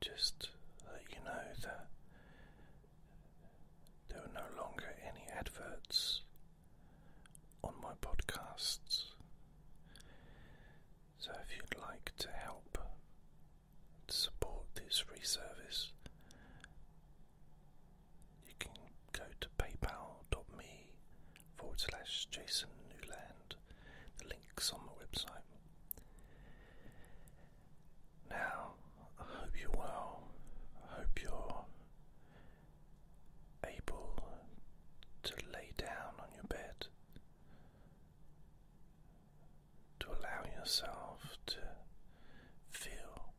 just let you know that there are no longer any adverts on my podcasts. So if you'd like to help support this service, you can go to paypal.me forward slash Jason Newland link's on the website. Now, I hope you're I hope you're able to lay down on your bed, to allow yourself to feel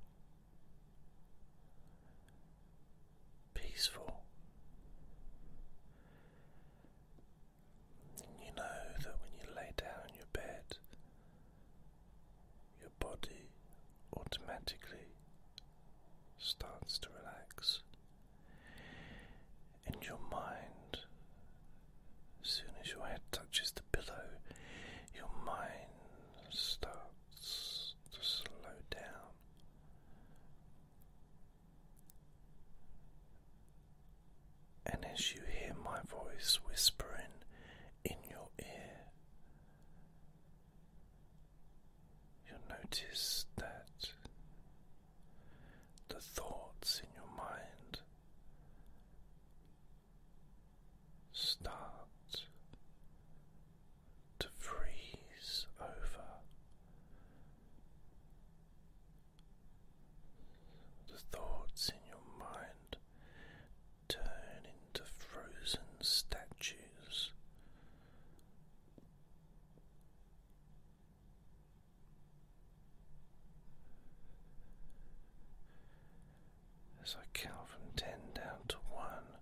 peaceful. You know that when you lay down in your bed, your body automatically starts to relax, and your mind, as soon as your head touches the pillow, your mind starts to slow down. And as you hear my voice whispering in your ear, you'll notice that the thoughts in your mind start to freeze over the thoughts in your mind turn into frozen statues. As I count from ten down to one,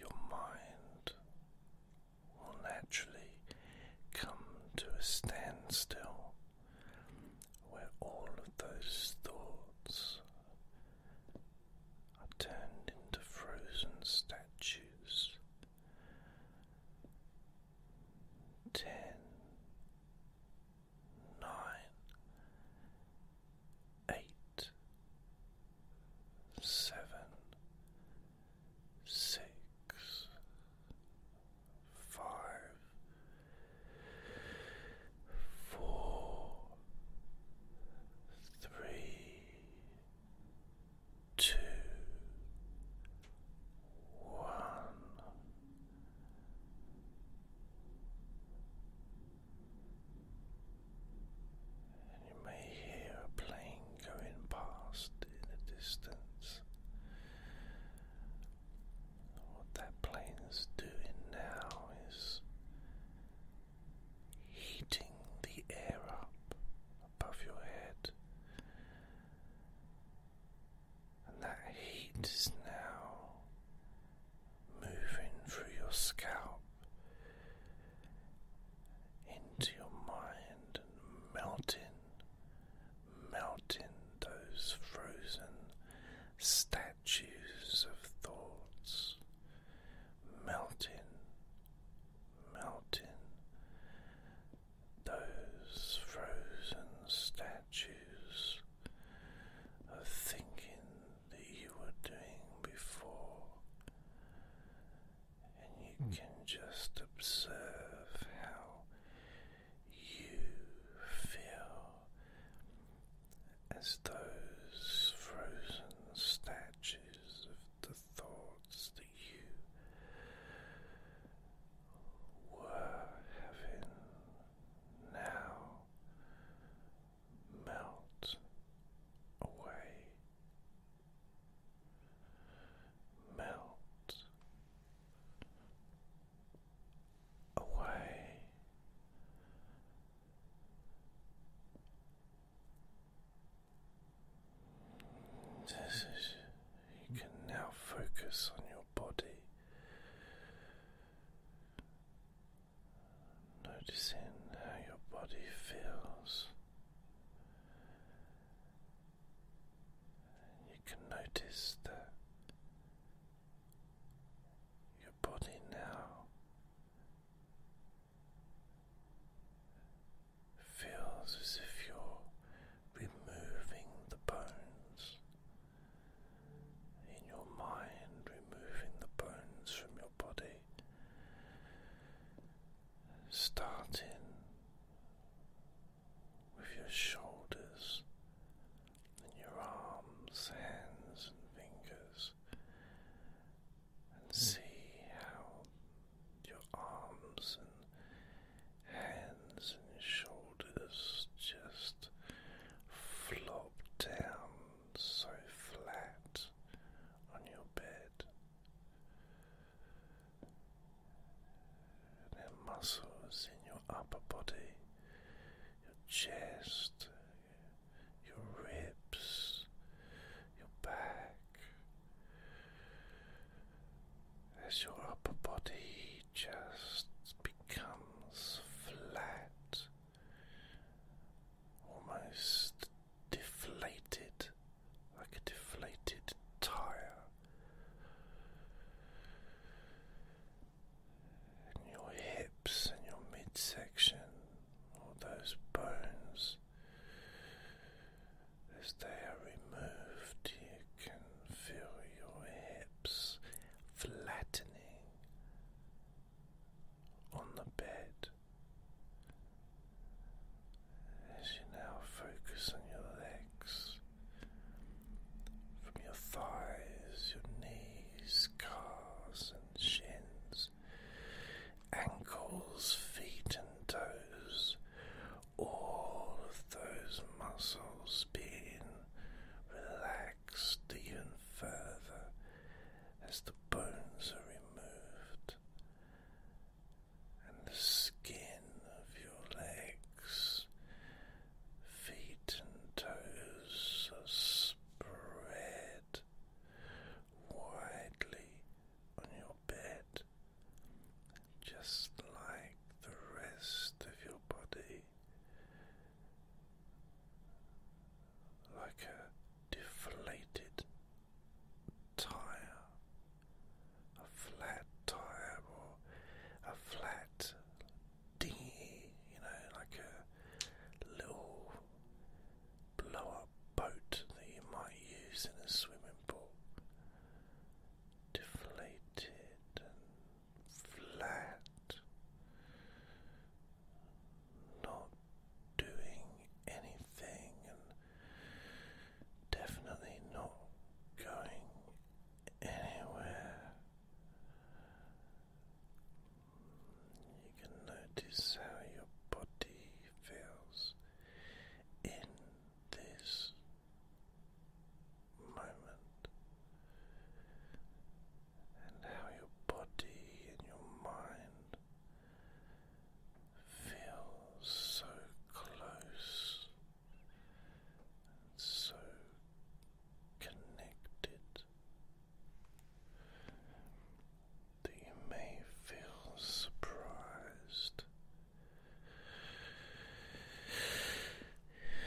your mind will naturally come to a standstill where all of those thoughts are turned into frozen statues. Ten, nine, eight, seven, six, five, four, three, two, one. And you may hear a plane going past in the distance. What that plane is doing now is heating the air up above your head, and that heat is now moving through your scalp into your mind and melting melting those frozen statues of thoughts, melting, melting those frozen statues of thinking that you were doing before and you hmm. can just observe how you feel as those frozen statues of the thoughts that you were having now melt away, melt away. you can now focus on your body, noticing how your body feels you can notice that your body now feels as if you're removing the bones. In your mind, removing the bones from your body, starting with your shoulders and your arms, hands, and fingers, and hmm. see how your arms and hands and shoulders just flop down so flat on your bed. The muscles in your upper body, your chest, your ribs, your back. As your upper body just becomes flat, almost deflated like a deflated tire, and your hips and your midsection, all those bones, as they are removed, you can feel your hips flattening on the bed. As you now focus on your legs, from your thighs, your knees, calves, and shins, ankles, feet, and toes, all of those muscles being relaxed even further as the bones are removed and the skin of your legs, feet, and toes are spread widely on your bed, just like the rest of your body. Like a deflated tire a flat tire or a flat dinghy, you know, like a little blow up boat that you might use in a swimming pool. Deflated and flat, not doing anything definitely not going anywhere. You can notice how your body feels in this moment and how your body and your mind feel so close so connected that you may feel surprised.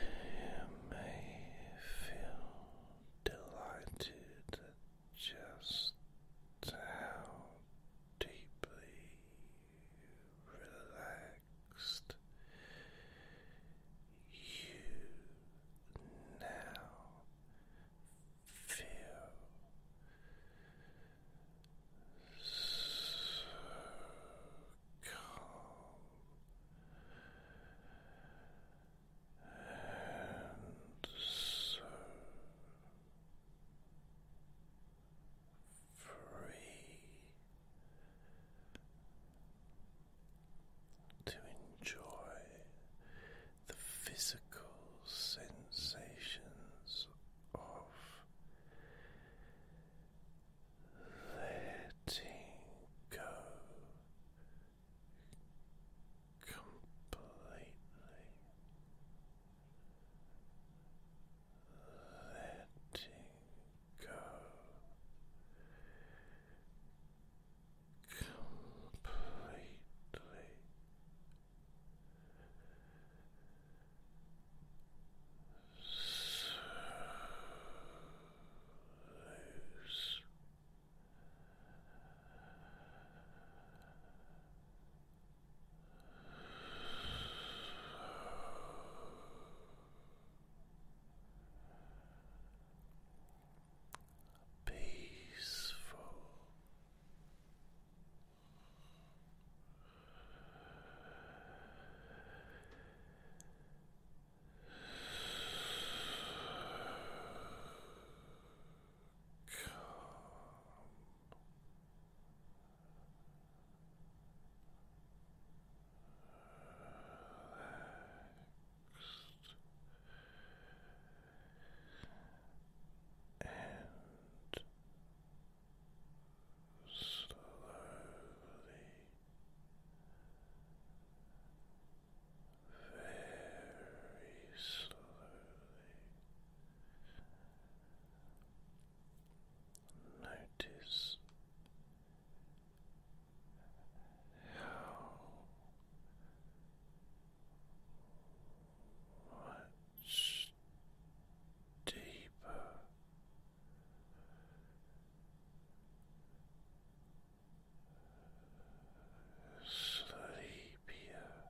You may feel delighted at just how deeply relaxed. You now feel so calm and so free to enjoy the physical sensations of letting go completely letting go completely. So Peaceful. Calm and slowly. Very slowly Notice how much deeper sleepier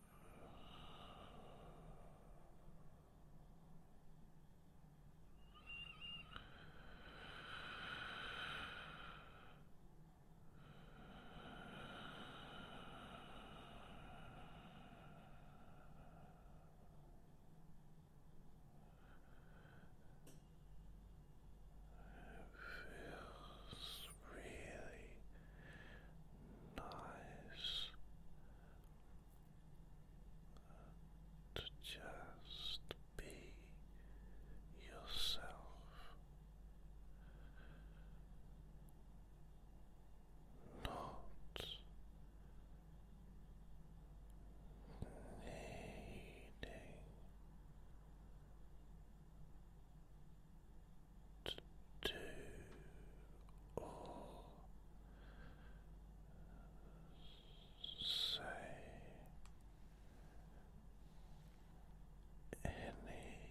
It feels really nice to just be yourself. Not needing to do or say anything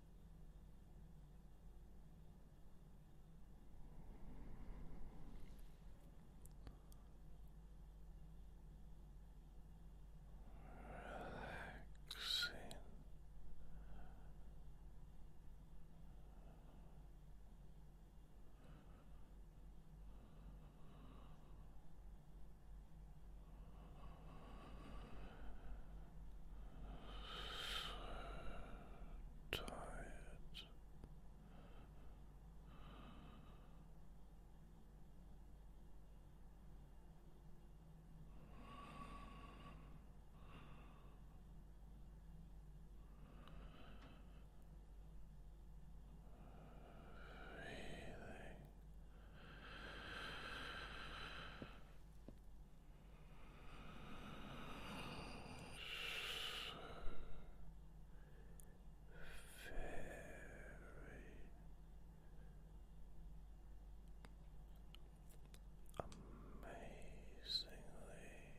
Relaxing. Relaxing tired. Feeling amazingly sleepy. Sleepy,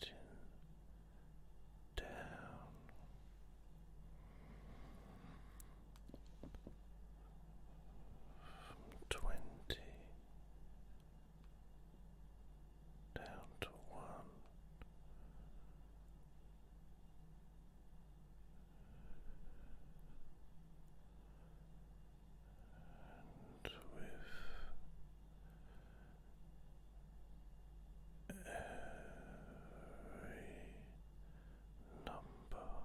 Counting down. From twenty down to one. And with every number,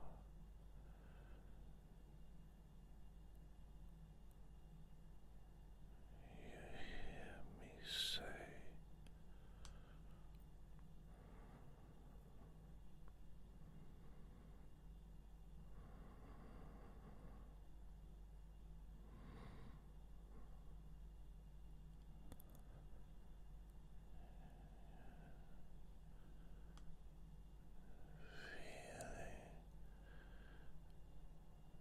you hear me say. Feeling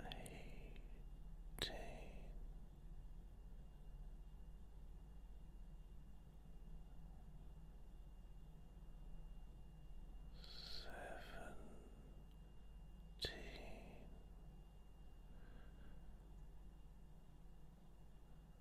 eighteen. Seventeen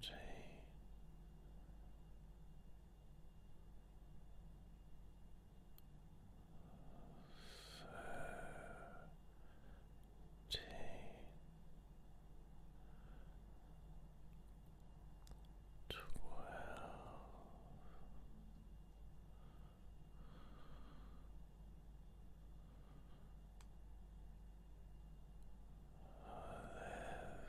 fourteen. Thirteen eleven.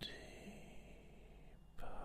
Ten. Deeper